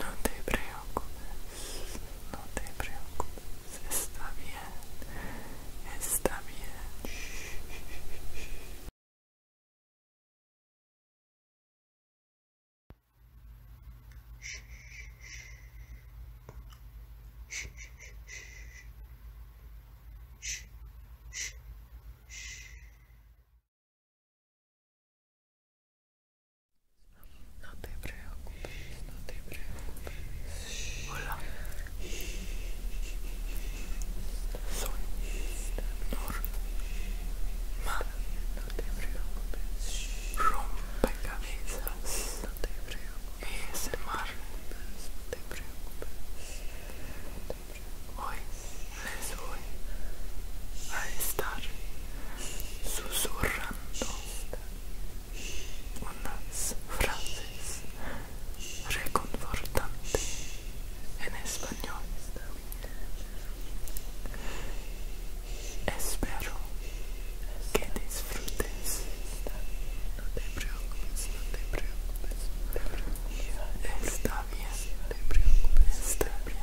No te preocupes, no te preocupes, está bien, está bien. Não te preocupes, não te preocupes. Hola. Soy normal. Não te preocupes. Rompecabezas. Não te preocupes. Ese mar. Não te preocupes. Hoy les voy a estar susurrando unas frases reconfortantes en español. Espero que disfrutes. No te preocupes, no te preocupes. Está bien, te preocupes, está bien.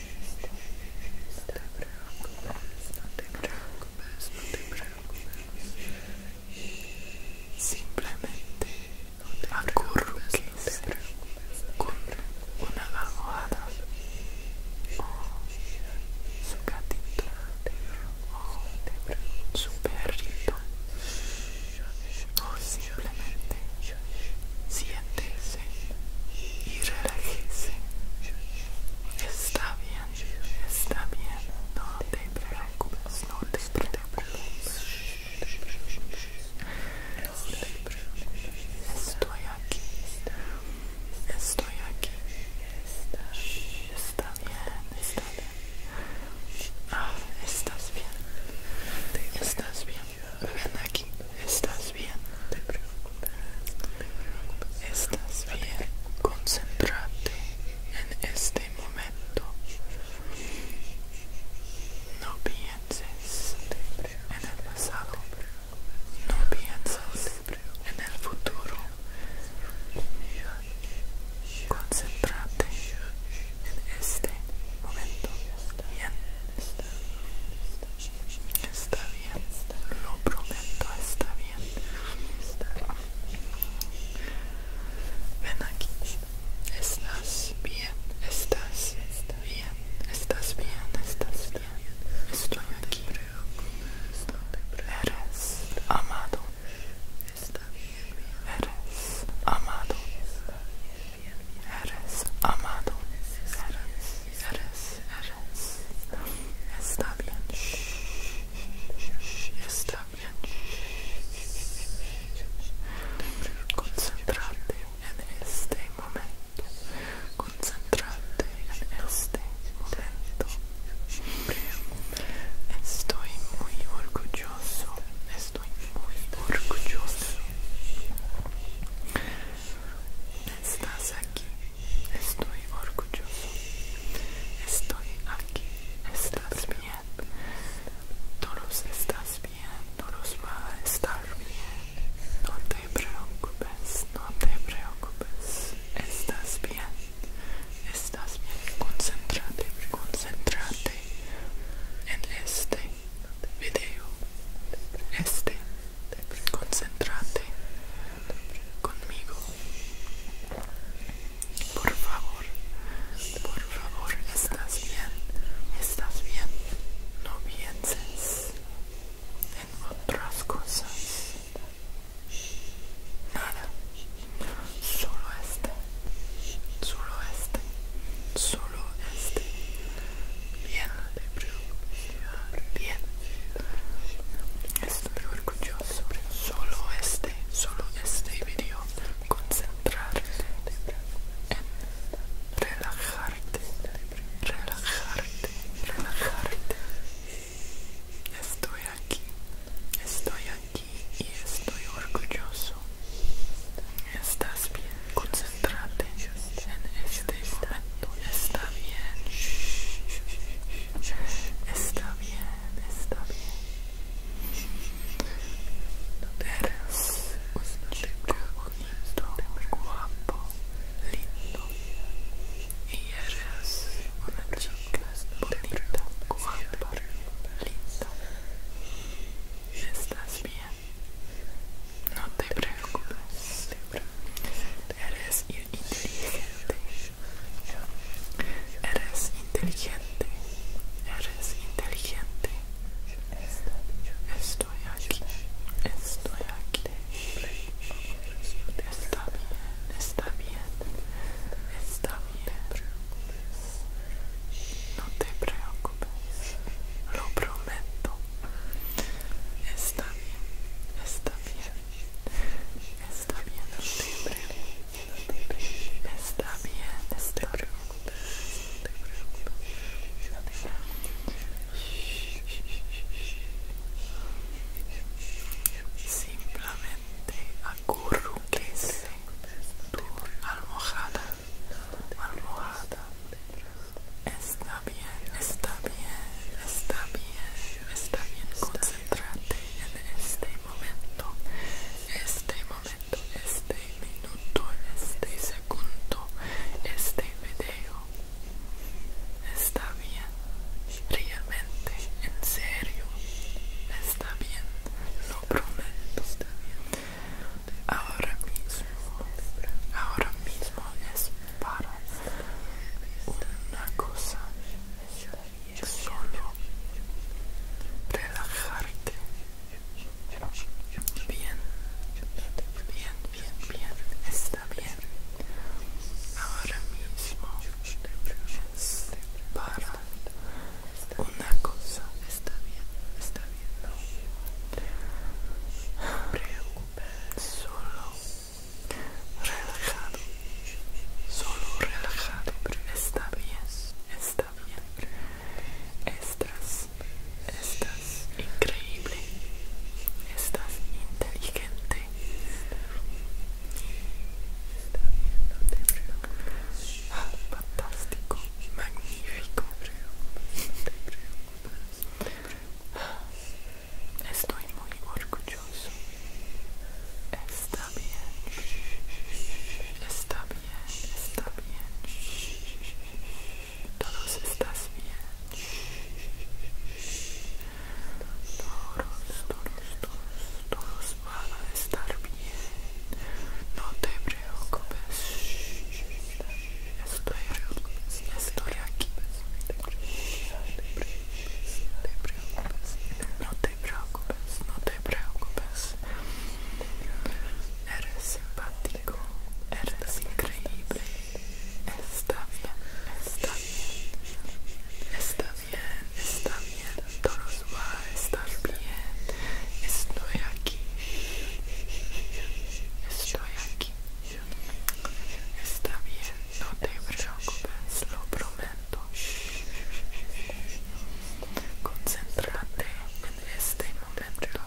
no te preocupes, no te preocupes. Simplemente acurruques con una almohada o su gatito o su perrito simplemente siéntese y Está bien, está bien, no te preocupes, no te preocupes. Estoy aquí, estoy aquí. Está bien, está bien. Ah, estás bien, estás bien aquí, estás bien, estás bien, concéntrate en este momento, no pienses en el pasado, no pienses en el futuro, concéntrate en este momento Está bien, lo prometo, está bien. Ven aquí. Estás bien, estás bien, estás bien, estás bien. Estoy aquí. Eres amado. Eres amado. eres amado, eres, eres, eres. Está bien, está bien. Concentrate en este momento, concentrate en este momento. Estoy muy orgulloso, estoy estoy muy orgulloso. estás aquí estoy orgulloso estoy aquí estás bien todos estás bien todos va a estar bien no te preocupes no te preocupes estás bien estás bien Concentrate. concéntrate en este video este concéntrate conmigo por favor por favor estás bien estás bien no pienses en otras cosas nada solo este solo este solo este Bien, bien. Estoy orgulloso. Solo este, solo este vídeo Concentrarte en relajarte, relajarte, relajarte. Estoy aquí, estoy aquí y estoy orgulloso. Estás bien, concentrate. en este momento. Está bien, está bien, está bien. Eres un chico bonito, guapo, lindo. Y eres una chica bonita, guapa, linda. Estás bien. No te preocupes, eres inteligente, eres inteligente, eres inteligente. Estoy aquí, estoy aquí. Está bien, está bien, está bien. No te preocupes lo prometo. Está bien, está bien, está bien, Está bien, Está bien, te preocupes, te Simplemente acurruques tu almohada Está bien, está bien, está bien, está bien. Concéntrate en este momento, este momento, este minuto, este segundo, este video. Está bien, realmente, en serio. Está bien, lo prometo. Está bien ahora mismo ahora mismo es para una cosa solo relajarte bien bien bien bien está bien ahora mismo es para una cosa está bien está Solo relajado. Solo relajado. Está bien. Está bien. Estás. Estás increíble. Estás inteligente. Fantástico. Magnífico. Estoy muy orgulloso. Está bien. Está bien. Está bien. Todos estás bien. Todos, todos, todos, todos van a estar bien. No te preocupes. Estou aqui, estou aqui. Não te preocupes, não te preocupes. Eres simpático, eres increíble. Está bem está bien. Está bien, está bien. Todos va a estar bien. estou aqui Estoy Está bien, no te preocupes, lo prometo. Concéntrate en este momento.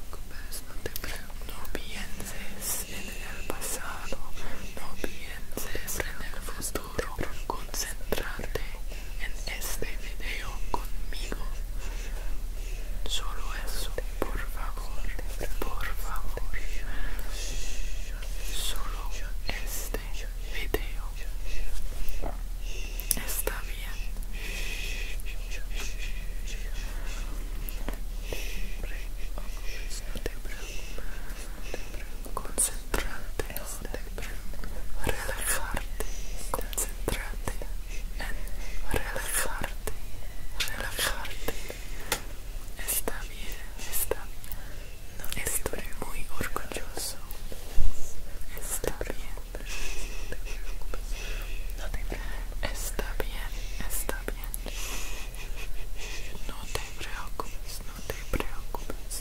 No, no pienses en el pasado, no pienses en el futuro. concentrate en este video conmigo. Solo eso, por favor, por favor. Solo este video. Está bien. Concentrarte, relajarte, en relajarte, relajarte. Está bien, está bien. No estoy muy orgulloso. Está bien. No te preocupes. Está bien, está bien. No te preocupes, no te preocupes.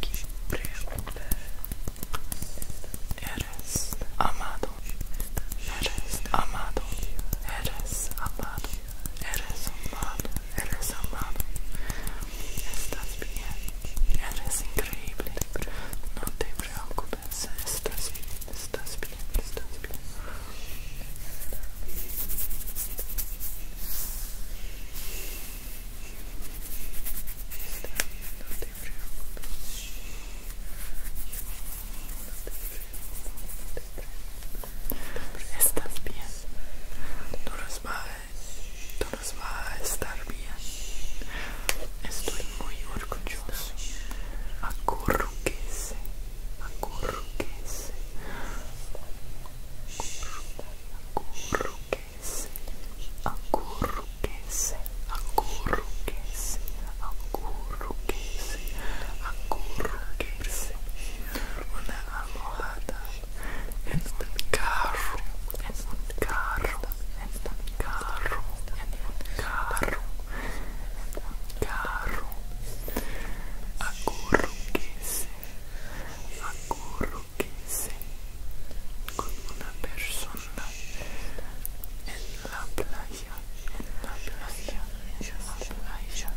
que eres amado, eres amado, eres amado, eres amado, eres amado, estás bem, eres increíble, não te preocupes, estás bem, estás bem, estás bem. Estás bem. Estás bien. Tú nos vas va a estar bien. Estoy muy orgulloso. Acurruquese. Acurruquese. Acurruquese. se, anguru que se, anguru que se, anguru que se, anguru que se. Una almohada en un carro, en un carro, en un carro, en un carro, en un carro. Anguru que se, anguru que c'est comme una persona en la playa, en la playa, en la playa, está en la playa, en la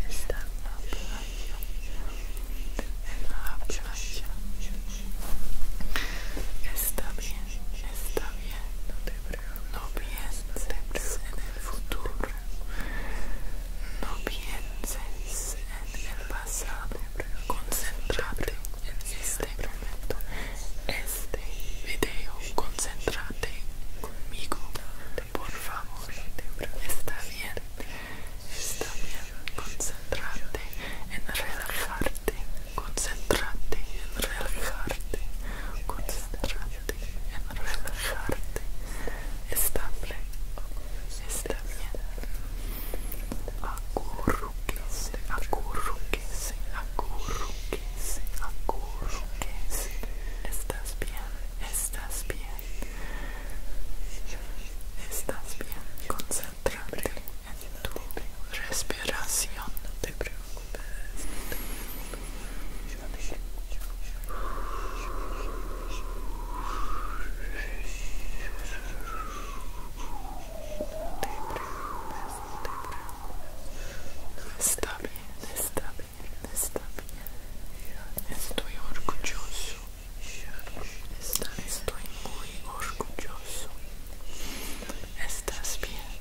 playa. Está bien, está bien, no te preocupes, no pienses en el futuro, no pienses en el pasado. Concentrate en este momento. Este video, concentrate conmigo, por favor. Está bien, está bien. concentrate en relajarte. concentrate en relajarte. concentrate en relajarte. Estable acurruquese, acurruquese, acurruquese, acurruquese. Estás bien, estás bien. Estás bien, concéntrate en tu respiración, no te preocupes está bien, está bien, está bien. Estoy orgulloso. Estoy muy orgulloso. Estás bien.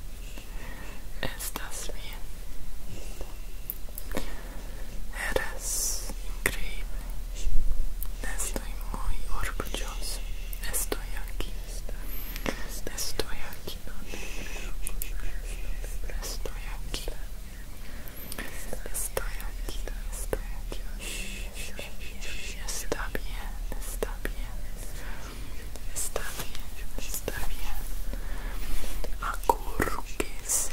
Estás bien. Eres increíble. Estoy muy orgulloso. Estoy aquí. Estoy aquí. Estoy aquí. Estoy aquí. Estoy aquí. Está bien. Está bien. Está bien. Está bien. Acurruquese.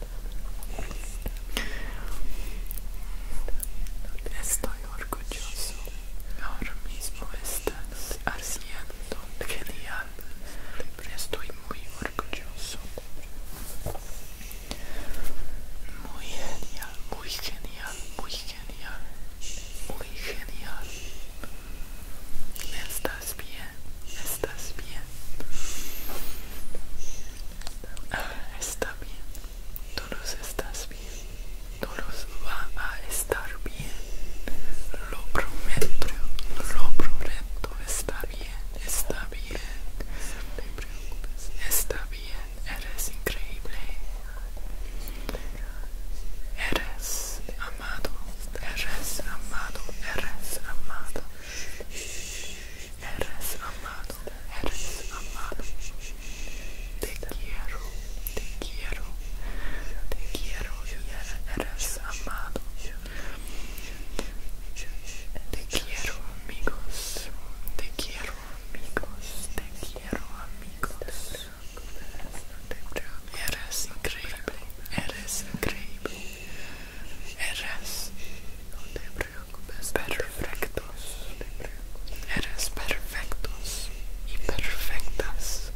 Estoy orgulloso. Ahora mismo estás haciendo genial. Estoy muy orgulloso. Muy genial, muy genial, muy genial. Muy genial. Estás bien, estás bien. Ah, está bien, todos estás bien, todos va a estar bien, lo prometo, lo prometo, está bien, está bien, no te preocupes, está bien, eres increíble, eres amado, eres amado, eres amado. Eres amado, eres amado. Te quiero, te quiero, te quiero. Eres amado. Te quiero, amigos. Te quiero, amigos. Te quiero, amigos. Eres increíble, eres increíble. Eres. No te perfectos, eres perfectos y perfectas.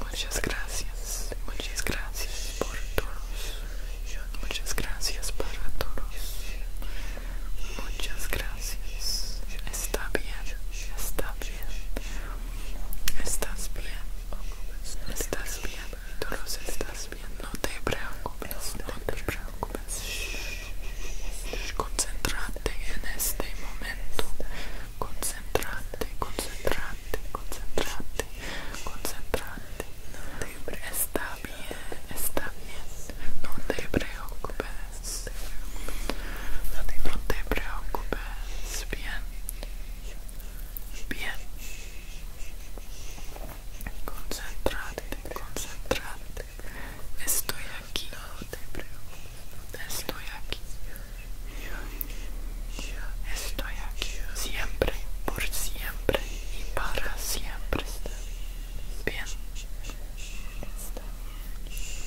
Muchas gracias, muchas gracias por todos, muchas gracias para todos, muchas gracias. Está bien, está bien, estás bien, estás bien, todos estás este no te preocupes, no te preocupes. concentrate en este momento. Concentrate, concentrate, concentrate, concentrate. Está bien, está bien. No te preocupes. no te preocupes. Bien. Bien. Concentrate, concentrate. Estoy aquí. No te preocupes. Estoy aquí. Estoy aquí. Siempre, por siempre y para siempre. Bien.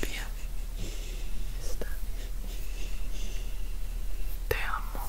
Bien. Te amo.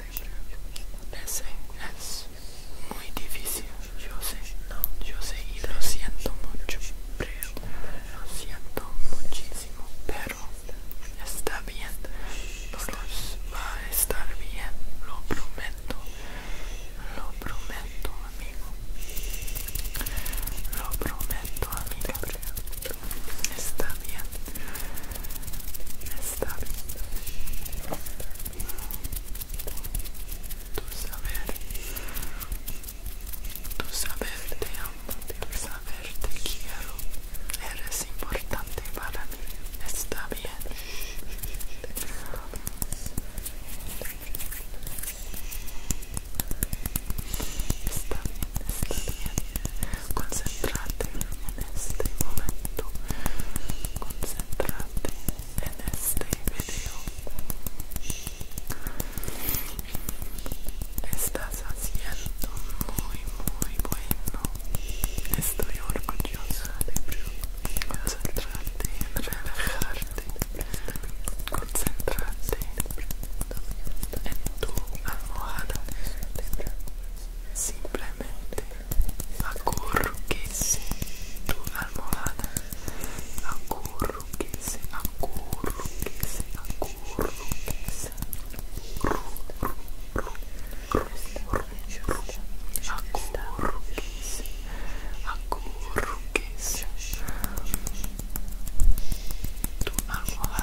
es muy difícil, yo sé, no, yo sé y lo siento mucho, lo siento muchísimo, pero está bien, va a estar bien, lo prometo, lo prometo amigo, lo prometo amiga. Está bien. Está bien. Tu saber. Tu saber te amo. Tu saber te quiero. Eres importante para mí. Está bien. Está bien, está bien. Concentrate en este momento concentrate en este video estás haciendo muy muy bueno estoy orgullosa de concentrarte en relajarte concentrate en tu almohada Simplemente acurruque-se tua almohada. Acurruque-se, acurruque-se, acurruque-se. Acurruque-se, acurruque-se. Tu almohada.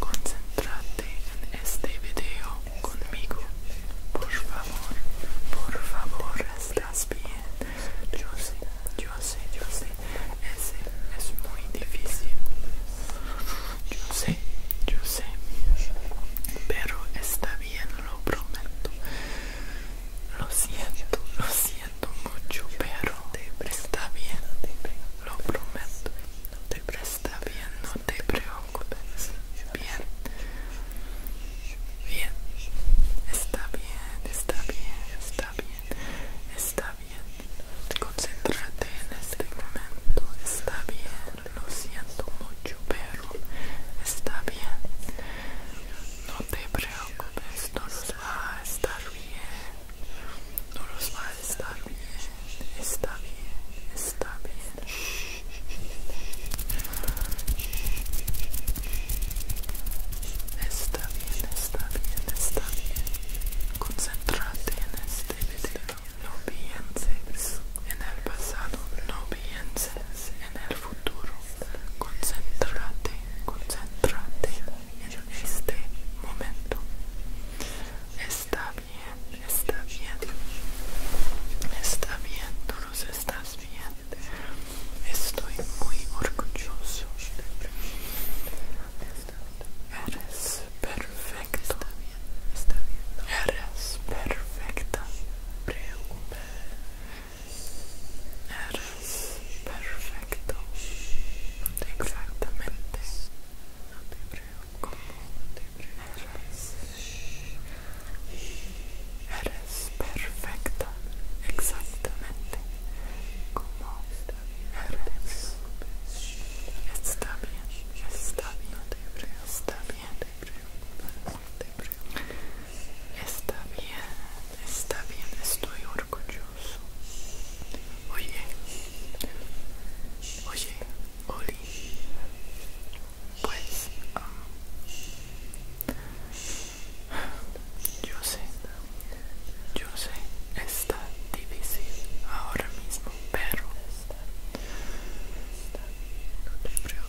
Concéntrate en este video conmigo. Por favor, por favor, estás bien. Yo sé, yo sé, yo sé. Ese es muy difícil. Yo sé, yo sé. Pero está bien, lo prometo. Lo siento, lo siento mucho, pero presta bien. Lo prometo. Te presta bien, te preocupes. Bien. Bien. Está bien, está bien, está bien. Está bien. Concéntrate en este momento. Está bien. Lo siento mucho, pero está bien. No te preocupes. No los va a estar bien. No los va a Está bien, está bien, está bien. Está bien, está bien, está bien. concentrate en este video. No pienses en el pasado, no pienses en el futuro. Concéntrate, concéntrate en este momento. Está bien, está bien, está bien, tú nos estás bien. Estoy muy orgulloso de ti. Eres perfecto. Está bien, Eres perfecta. Eres perfecto. Exactamente. No te como te Eres perfecta, exactamente como eres. Está bien, está bien, está bien, está bien, está bien, estoy orgulloso. Oye, oye, Oli. Pues, um, yo sé, yo sé, está difícil ahora mismo, pero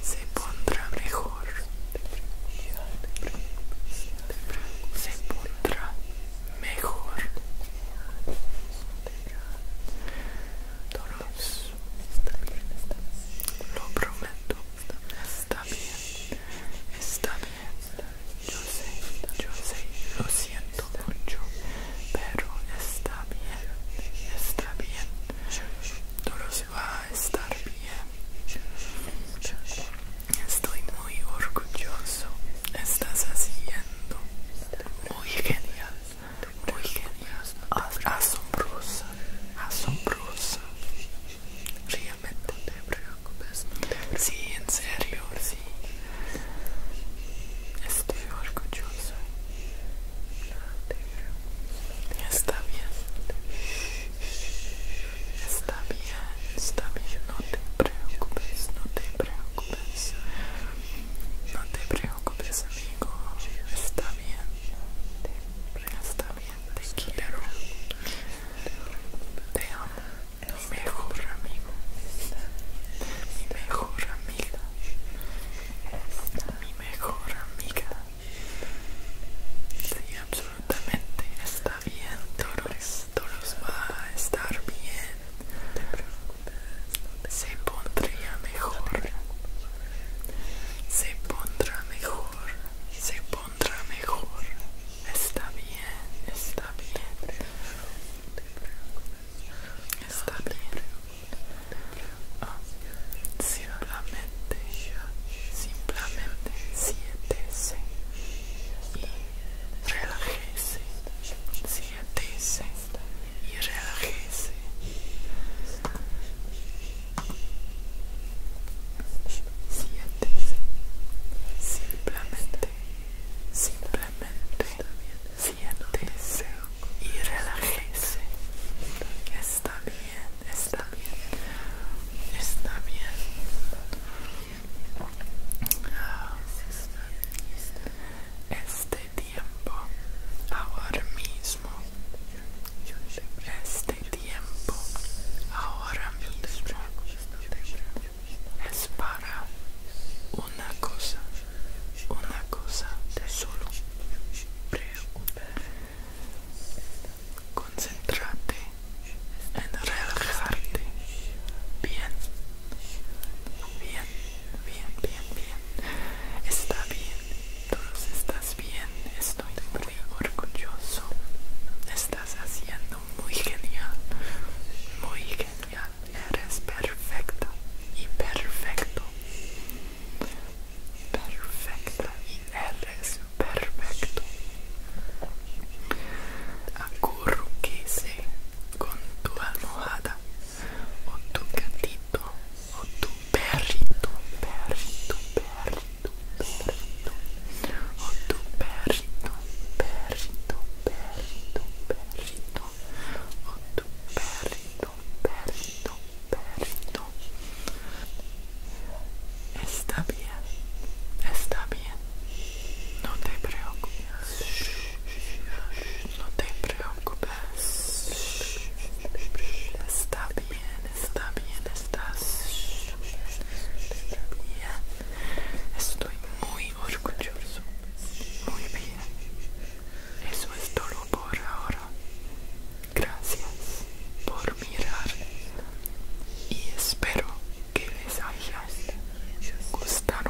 se pondrá mejor, se pondrá mejor. Lo prometo, está bien, está bien. Yo sé, yo sé, lo siento mucho, pero está bien, está bien. Todo se va a estar bien. Estoy muy orgulloso. Estás haciendo muy genial muy genial, asombrosa, asombrosa. Realmente no te preocupes, sí, en serio, sí. Estoy preocupes Está bien, está bien, está bien, no te preocupes, no te preocupes no te preocupes amigo, está bien, está bien, te quiero, te amo, mi mejor amigo, mi mejor amiga, mi mejor amiga, sí absolutamente está bien, Dolores, Toros va a estar bien, se pondría mejor se pondrá mejor se pondrá mejor está bien está bien está bien ah, simplemente simplemente siéntese y relájese Ríatese y relájese. Siéntese. Simplemente, simplemente siéntese y relájese. Está bien, está bien, está bien. Este tiempo, ahora mismo. Este tiempo, ahora mismo, es para una cosa, una cosa de solo. Concentrate en relajarte. Bien, bien, bien, bien, bien. Está bien, todos estás bien, estoy muy orgulloso. Estás haciendo muy genial, muy genial. Eres perfecta y perfecto. Perfecta y eres perfecto. Acurruquese con tu almohada o tu gatito, o tu perrito, perrito, perrito, perrito, o tu perrito, perrito, perrito, perrito, o tu perrito, perrito, perrito. Está bien, está bien, no te preocupes. No te preocupes. Está bien, está bien, estás bien. Estoy muy orgulloso. Muy bien. Eso es todo por ahora. Gracias por mirar y espero que les haya gustado.